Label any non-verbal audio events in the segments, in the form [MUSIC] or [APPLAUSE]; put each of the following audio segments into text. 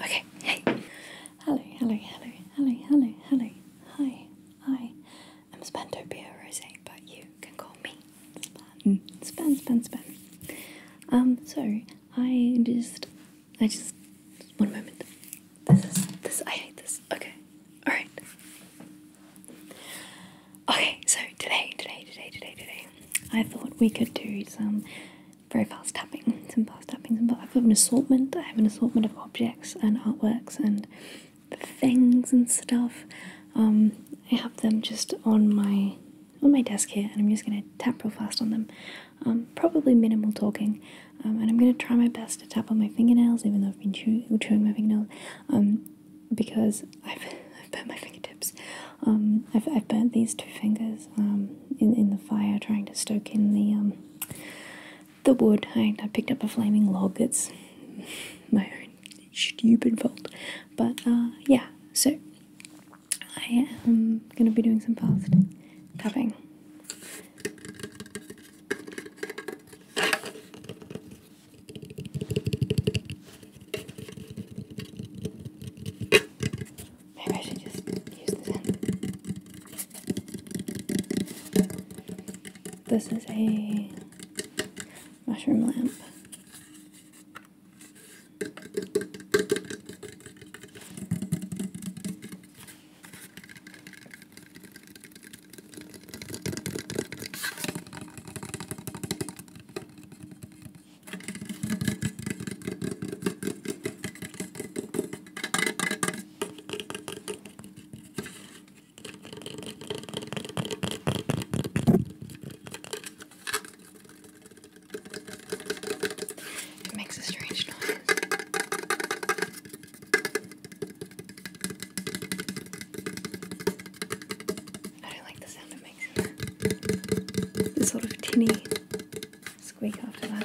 Okay, hey. Hello, hello, hello, hello, hello, hello. Hi, I am Spantopia Rose, but you can call me Span. Span, Span, Span. Um, so I just, I just, one moment. This is, this, I hate this. Okay, alright. Okay, so today, today, today, today, today. I thought we could do some very fast tapping, some fast tapping. But I've an assortment. I have an assortment of objects and artworks and things and stuff. Um, I have them just on my on my desk here, and I'm just gonna tap real fast on them. Um, probably minimal talking, um, and I'm gonna try my best to tap on my fingernails, even though I've been chewing my fingernails, because I've I've burnt my fingertips. Um, I've, I've burnt these two fingers um, in, in the fire trying to stoke in the um, the wood. I, I picked up a flaming log. It's my own stupid fault. But uh, yeah, so I am going to be doing some fast tapping. Maybe I should just use this This is a mushroom lamp. It makes a strange noise. I don't like the sound of the sort of tinny squeak after that.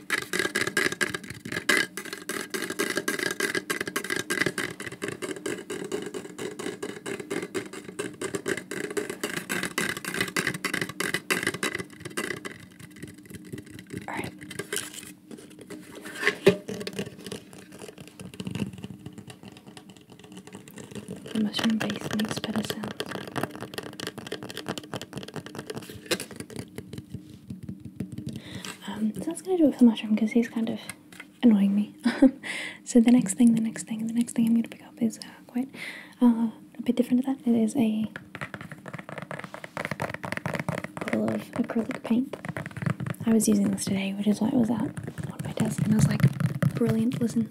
All right. The mushroom base makes better sounds. Um, so I was gonna do it for the mushroom because he's kind of annoying me. [LAUGHS] so the next thing, the next thing, the next thing I'm gonna pick up is uh, quite uh, a bit different to that. It is a bottle of acrylic paint. I was using this today, which is why it was out on my desk, and I was like, brilliant, listen.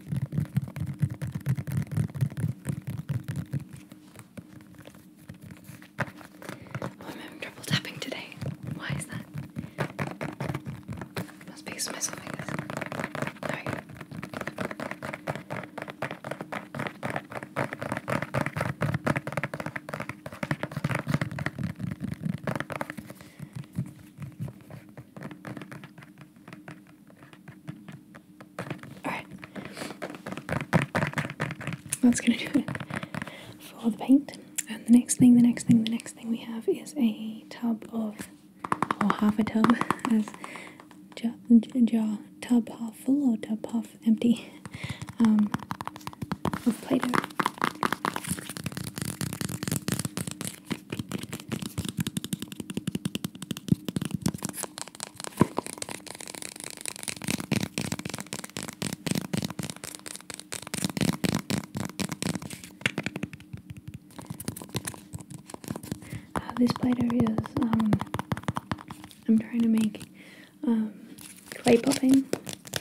I'm having trouble tapping today. Why is that? Must be my fingers. Alright. Alright. That's gonna do it for the paint. And the next thing, the next thing, the next thing we have is a tub of, or half a tub, as jar, tub half full or tub half empty, um, of Play Doh. Uh, this platter is, um, I'm trying to make, um, clay popping.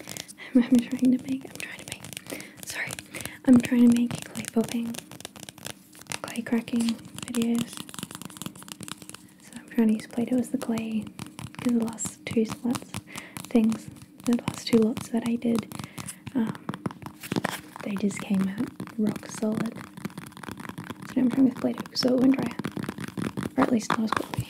[LAUGHS] I'm trying to make, I'm trying to make, sorry, I'm trying to make clay popping clay cracking videos. So I'm trying to use Play-Doh as the clay because the last two slots things, the last two lots that I did, um, they just came out rock solid. So I'm trying with play so it dry or at least not as quickly.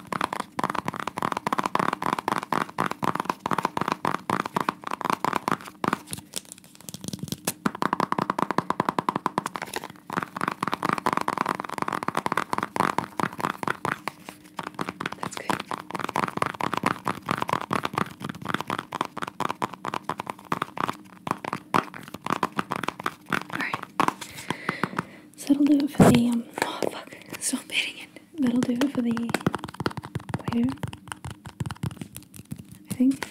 That's good. Alright. So that'll do it for the um oh fuck, stop hitting it that'll do it for the I think.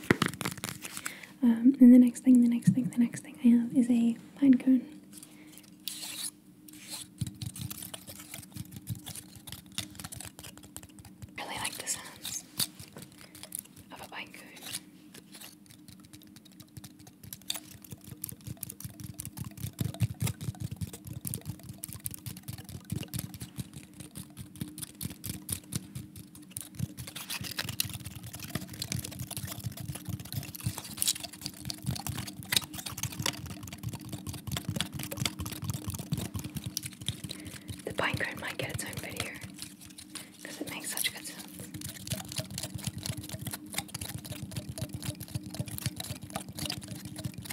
Um, and the next thing, the next thing, the next thing I have is a pine really like the sounds of a pine cone. The pine might get its own video because it makes such good sounds.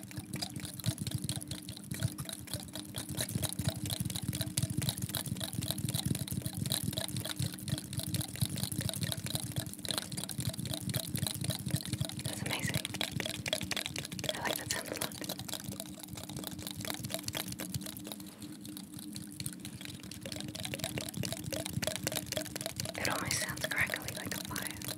That's amazing. I like that sound It almost sounds crackly like a fire.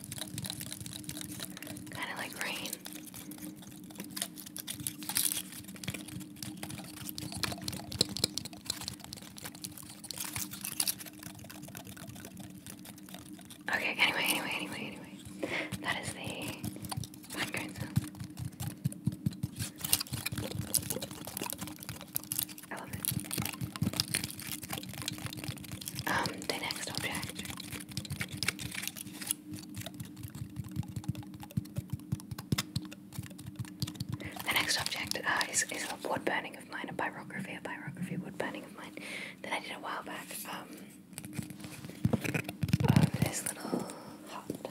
Kind of like rain. Okay, anyway, anyway, anyway, anyway. That is the fine crimson. I love it. Um, the next object. The next object uh, is, is a wood burning of mine, a pyrography, a pyrography wood burning of mine that I did a while back. Um, of oh, this little hut.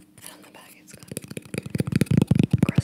And on the back it's got cross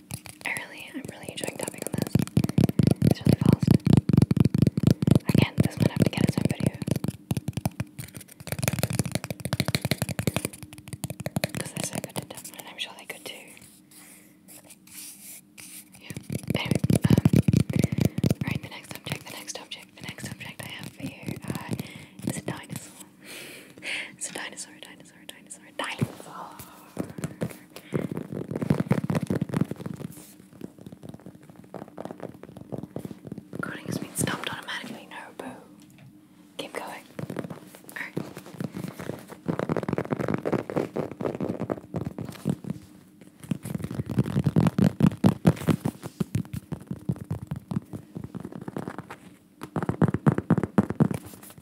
I really, I'm really enjoying tapping on this. It's really fast. Again, this might have to get its own video. Because they're so good to tap and I'm sure they could too. Yeah. Anyway, um, alright, the next object, the next object, the next object I have for you uh, is a dinosaur it's a dinosaur, dinosaur, dinosaur, dinosaur. Recording has been stopped automatically. No, boo. Keep going. Alright.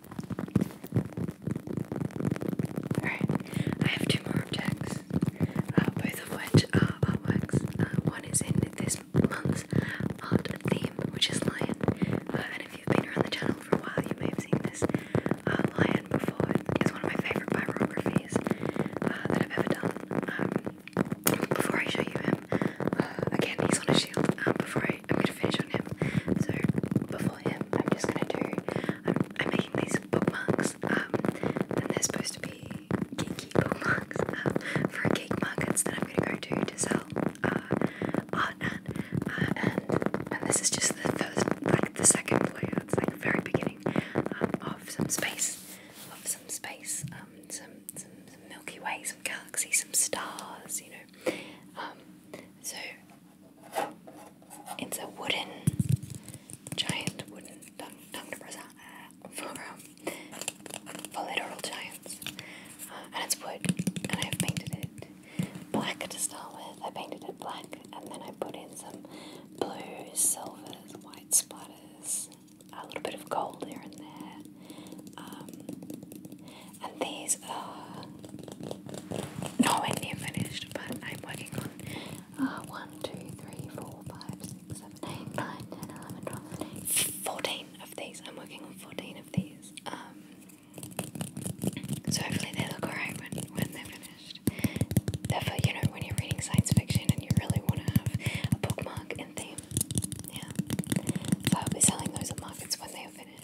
Alright, I have two more objects, uh, both of which are artworks. Uh, one is in this month's art theme, which is lion. Uh, and if you've been around the channel for a while, you may have seen this lion before. It's one of my favourite biographies that I've ever done. Um, before I show you him, again, he's on a shield. before I'm going to finish on him. So, before him, I'm just gonna do. I'm, making these bookmarks, um, and they're supposed to be geeky bookmarks [LAUGHS] um, for geek markets that I'm gonna go to to sell uh, art at. Uh, and and this is just the first, like the second layer. It's like very beginning um, of some space, of some space, um, some, some Milky Way, some galaxies, some stars, you know. Um, so it's a wooden, giant wooden tongue, tongue to press and it's wood, and I've painted it black to start with. I painted it black, and then I put in some blue, silvers, white splatters, a little bit of gold here and there. Um, and these are nowhere near finished, but I'm working on uh, of these. I'm working on 14 of these. Um, so hopefully they look alright when, when they're finished. Therefore, you know, when you're reading science fiction and you really want to have a bookmark in theme, yeah. So I'll be selling those at markets when they are finished.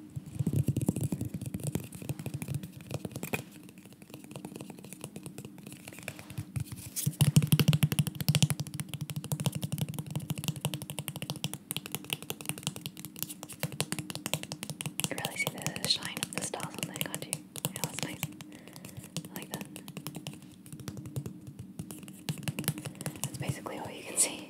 You really see the shine of the stars on there, can't you? Yeah, that's nice. like that. That's basically all you can see.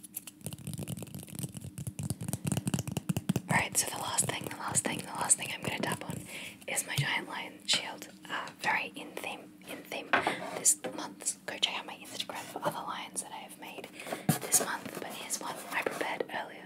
Alright, so the last thing, the last thing, the last thing I'm gonna tap on is my giant lion shield. Uh, very in theme, in theme this month. Go check out my Instagram for other lions that I have made this month, but here's one I prepared earlier.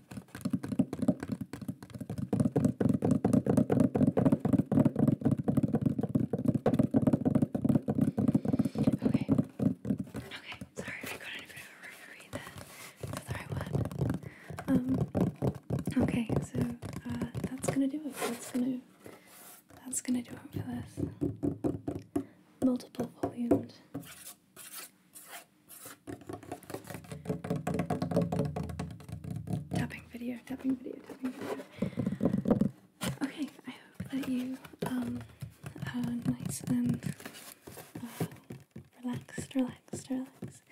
Okay. Okay. Sorry, I got in a of a referee there. That's the right word. Um. Okay. So uh, that's gonna do it. That's gonna. That's gonna do it for this multiple volumes. Tapping video, tapping video, tapping video. Okay, I hope that you um, nice and uh, relaxed, relaxed, relaxed,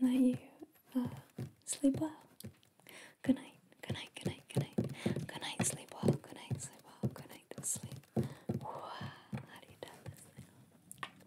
and that you uh, sleep well. Good night, good night, good night, good night. Good night, sleep well, good night, sleep well, good night, sleep. Wow, how do you do this now?